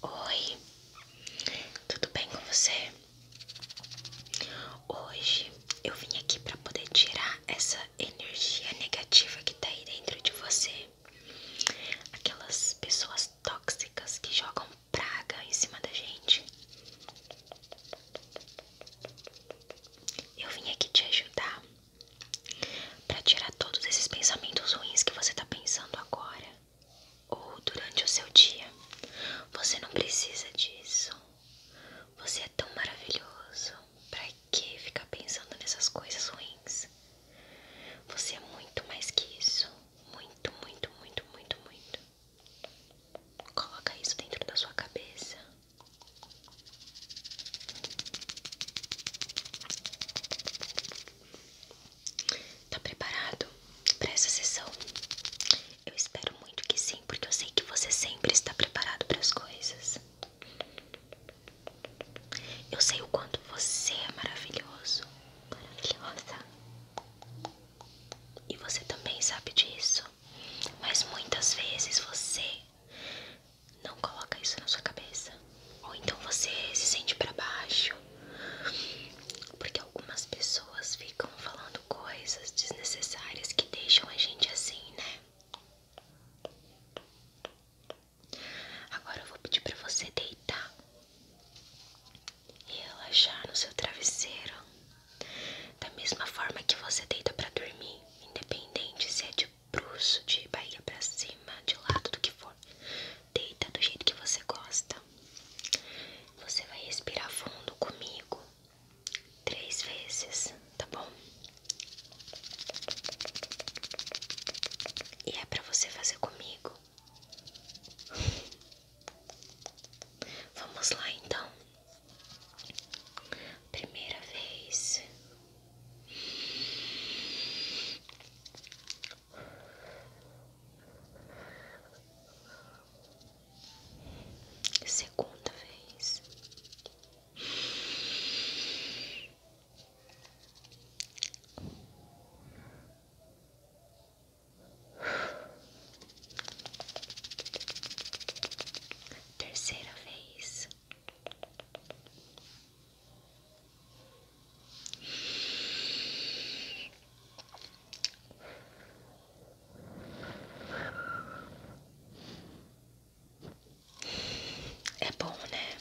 Oi, tudo bem com você? Hoje eu vim aqui para poder tirar essa energia negativa que tá aí dentro de você. Aquelas pessoas tóxicas que jogam praga em cima da gente. Eu vim aqui te ajudar para tirar todos esses pensamentos ruins que você tá pensando agora ou durante o seu dia. Você não precisa disso. Você é tão maravilhoso. Pra que ficar pensando nessas coisas ruins? Você é muito mais que isso. Muito, muito, muito, muito, muito. Coloca isso dentro da sua cabeça. Tá preparado para essa sessão? Eu espero muito que sim, porque eu sei que você sempre está preparado para as coisas. Eu sei o quanto você é maravilhoso, maravilhosa. E você também sabe disso. Mas muitas vezes você não coloca isso na sua cabeça. Ou então você se sente para baixo. Porque algumas pessoas ficam falando coisas desnecessárias que deixam a gente assim, né? Agora eu vou pedir para você deitar e relaxar no seu travesseiro. Da mesma forma que você deita para dormir, independente se é de bruxo, de barriga para cima, de lado, do que for. Deita do jeito que você gosta. Você vai respirar fundo comigo três vezes, tá bom? E é para você fazer comigo. Vamos lá então. Primeira vez. Segunda vez. Terceira vez. É bom, né?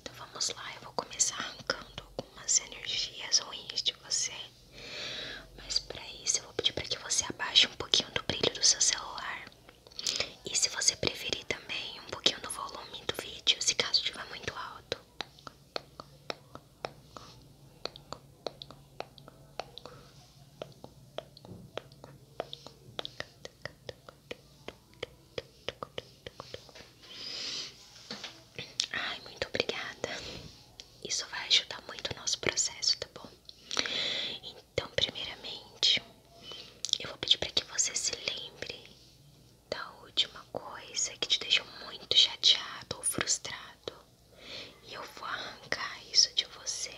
Então vamos lá, eu vou começar arrancando algumas energias ruins de você. Mas para isso eu vou pedir para que você abaixe um pouquinho do brilho do seu celular. E se você preferir também, um pouquinho do volume do vídeo, se caso estiver muito alto. Ai, muito obrigada. Isso vai ajudar muito o nosso processo, tá bom? Então, primeiramente, eu vou pedir para que você se lembre da última coisa que te deixou muito chateado ou frustrado. E eu vou arrancar isso de você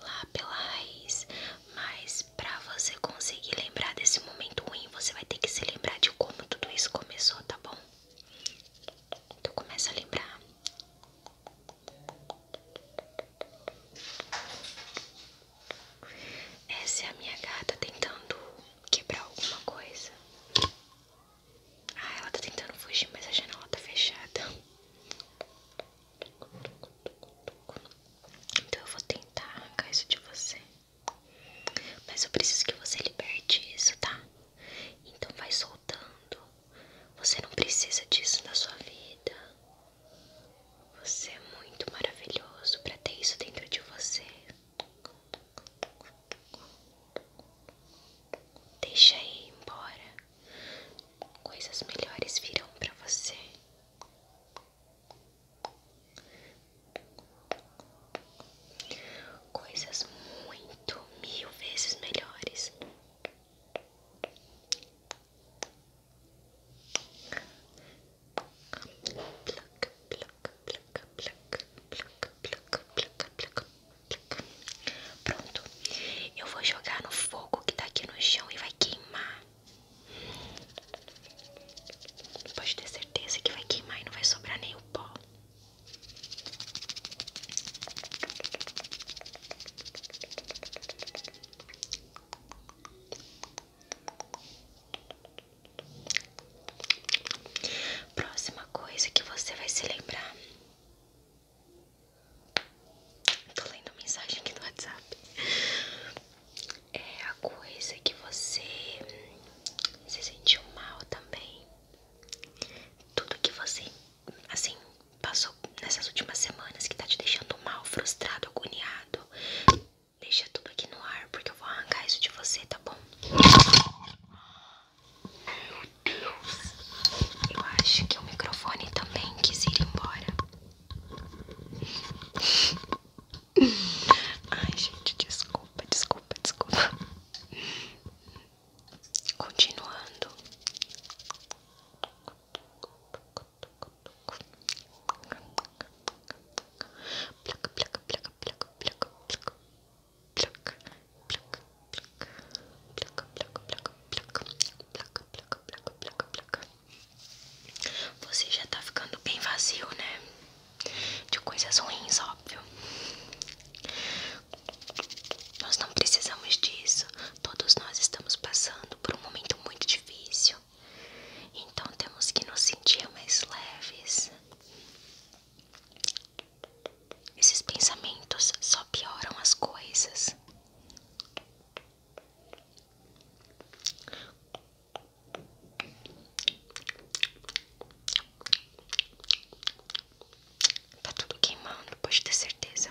lá pela raiz. Mas pra você conseguir lembrar desse momento ruim, você vai ter que se lembrar de como tudo isso começou, tá bom? Então começa a lembrar. Essa é a minha gata tentando quebrar alguma coisa. Ah, ela tá tentando fugir, mas a janela tá fechada. Então eu vou tentar arrancar isso de você. Mas eu preciso que você liberte isso, tá? Então vai soltando. Você não precisa disso na sua vida. Você é muito maravilhoso para ter isso dentro de você. Deixa ir embora. Coisas melhores virão para você. Coisas muito mil vezes melhores. Pluck, pluck, pluck, pluck, pluck, pluck, pluck, pluck. Pronto, eu vou jogar no fogo que tá aqui no chão e vai queimar. Pode ter certeza que vai queimar e não vai sobrar nem o pó. Próxima coisa que você vai se lembrar Tô lendo mensagem aqui no WhatsApp. É a coisa que você você hum, sentiu mal também. Tudo que você, assim, passou nessas últimas semanas que tá te deixando mal, frustrado, agoniado. Deixa tudo aqui no ar, porque eu vou arrancar isso de você, tá bom? Meu Deus! Eu acho que o microfone também quis ir embora. Ai, gente, desculpa, desculpa, desculpa. Continuando. Placa, placa, placa, placa, placa, placa. Placa, placa, placa. Placa, placa, placa, placa. Placa, placa, placa, placa, placa. Você já tá ficando bem vazio, né? De coisas ruins, óbvio. Nós não precisamos disso. Todos nós estamos passando por um momento muito difícil. Então temos que nos sentir mais leves. Esses pensamentos só pioram as coisas. Tá tudo queimando, pode ter certeza.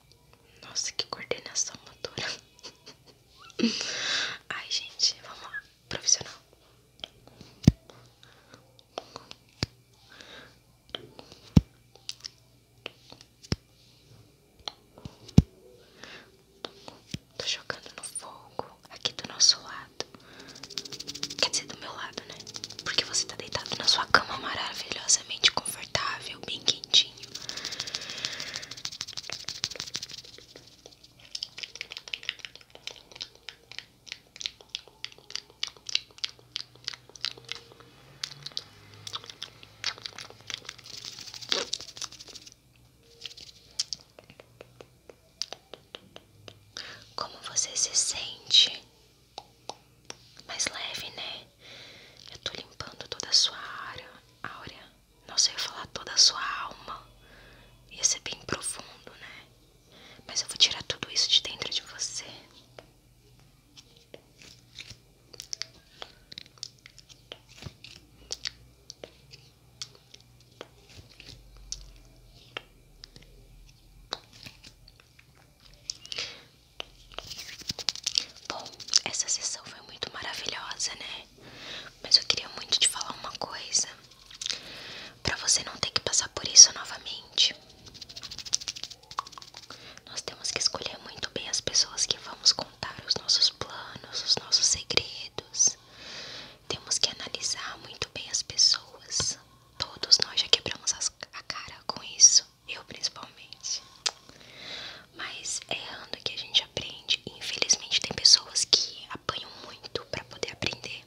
Nossa, que coordenação motora. Ai, gente, vamos lá. Profissional. Tô jogando no fogo aqui do nosso lado. Quer dizer, do meu lado, né? Porque você tá deitado na sua cama maravilhosamente confortável, bem quentinho. Como você se sente? Mais leve, né? Eu estou limpando toda a sua área, áurea nossa, eu ia falar toda a sua alma. Ia ser bem profundo, né? Mas eu vou tirar tudo isso de dentro de você. Bom, essa sessão foi muito maravilhosa, né? Mas eu queria muito te falar uma coisa para você não ter que passar por isso novamente. Nós temos que escolher muito bem as pessoas que vamos contar os nossos planos, os nossos segredos. Temos que analisar muito bem as pessoas. Todos nós já quebramos a cara com isso, eu principalmente mas é errando que a gente aprende. Infelizmente tem pessoas que apanham muito para poder aprender.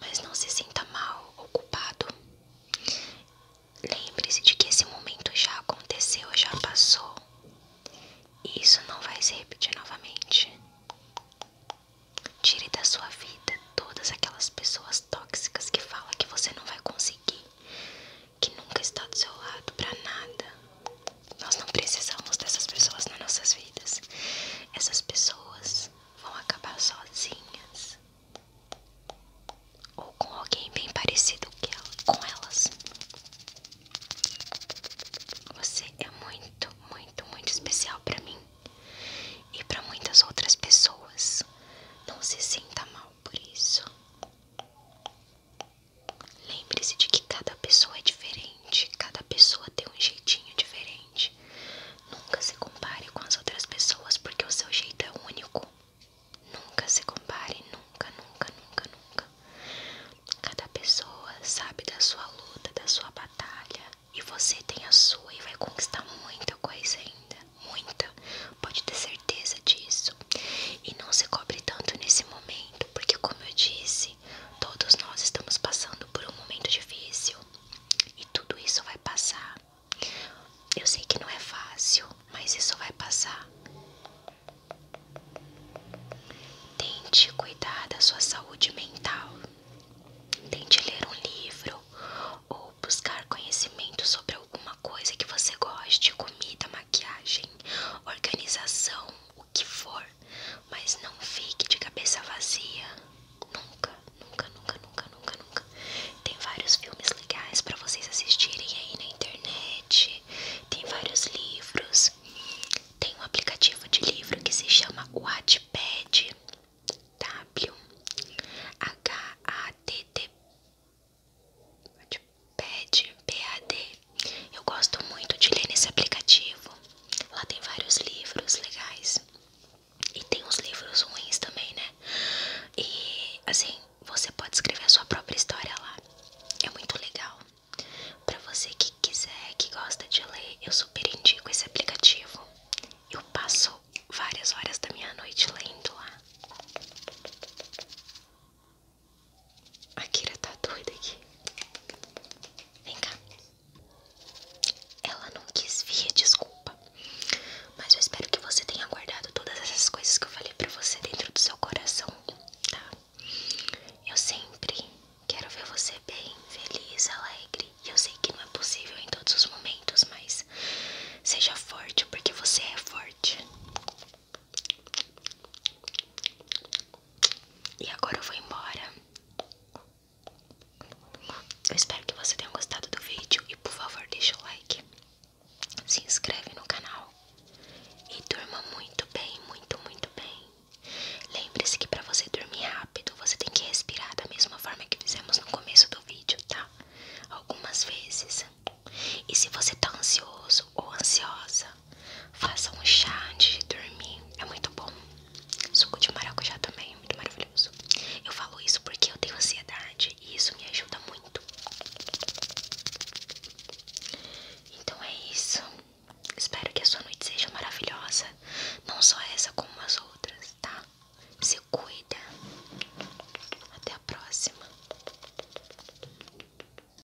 Mas não se sinta mal ou culpado. Lembre-se de que esse momento já aconteceu, já passou. E isso não vai se repetir novamente. Tire da sua vida todas aquelas pessoas tóxicas que falam que você não vai conseguir, que nunca está do seu lado para nada. Nós não precisamos dessas pessoas nas nossas vidas. Essas pessoas vão acabar sozinhas ou com alguém bem parecido com elas. Você é muito, muito, muito especial para mim e para muitas outras pessoas. Não se sinta mal por isso. Lembre-se de que cada pessoa é diferente, cada pessoa tem um jeitinho diferente. Nunca se compare com as outras pessoas porque o seu jeito é único. Nunca se compare, nunca, nunca, nunca, nunca. Cada pessoa sabe da sua luta, da sua batalha e você tem a sua e vai conquistar muita coisa ainda, muita. Pode ter certeza disso. E não se cobre tanto nesse momento porque como eu disse, todos nós estamos passando por um momento difícil e tudo isso vai passar. Eu sei que não é fácil, mas isso vai passar. Tente cuidar da sua saúde mental. Tente ler um livro ou buscar conhecimento sobre alguma coisa que você goste, comida, maquiagem, organização, o que for, mas não fique de cabeça vazia. Nunca, nunca, nunca, nunca, nunca, nunca. Tem vários filmes legais para vocês assistirem aí na internet. Tem vários livros. Tem um aplicativo de livro que se chama Wattpad. W H A T T Wattpad, PAD. Eu gosto muito de ler nesse aplicativo. Lá tem vários livros legais. E tem uns livros ruins também, né? E assim, você pode escrever a sua própria história lá. É muito legal. Pra você que quiser, que gosta de ler, eu super indico esse aplicativo. Eu passo várias horas da minha noite lendo lá. A Kira tá doida aqui. Vem cá. Ela não quis vir, desculpa. Mas eu espero que você tenha guardado todas essas coisas que eu falei pra você dentro do seu coração, tá? Eu sempre quero ver você bem, feliz, alegre. E eu sei que não é possível em todos os momentos, mas seja forte porque você é forte. E agora eu vou embora. Eu espero que você tenha gostado do vídeo e por favor deixa o like. Se inscreve no canal e durma muito bem, muito, muito bem. Lembre-se que para você dormir rápido, você tem que respirar da mesma forma que fizemos no começo do vídeo, tá? Algumas vezes. E se você está ansioso ou ansiosa, Faça um chá antes de dormir, é muito bom. Suco de maracujá também muito maravilhoso. Eu falo isso porque eu tenho ansiedade e isso me ajuda muito. Então é isso. Espero que a sua noite seja maravilhosa, não só essa como as outras, tá? Se cuida. Até a próxima.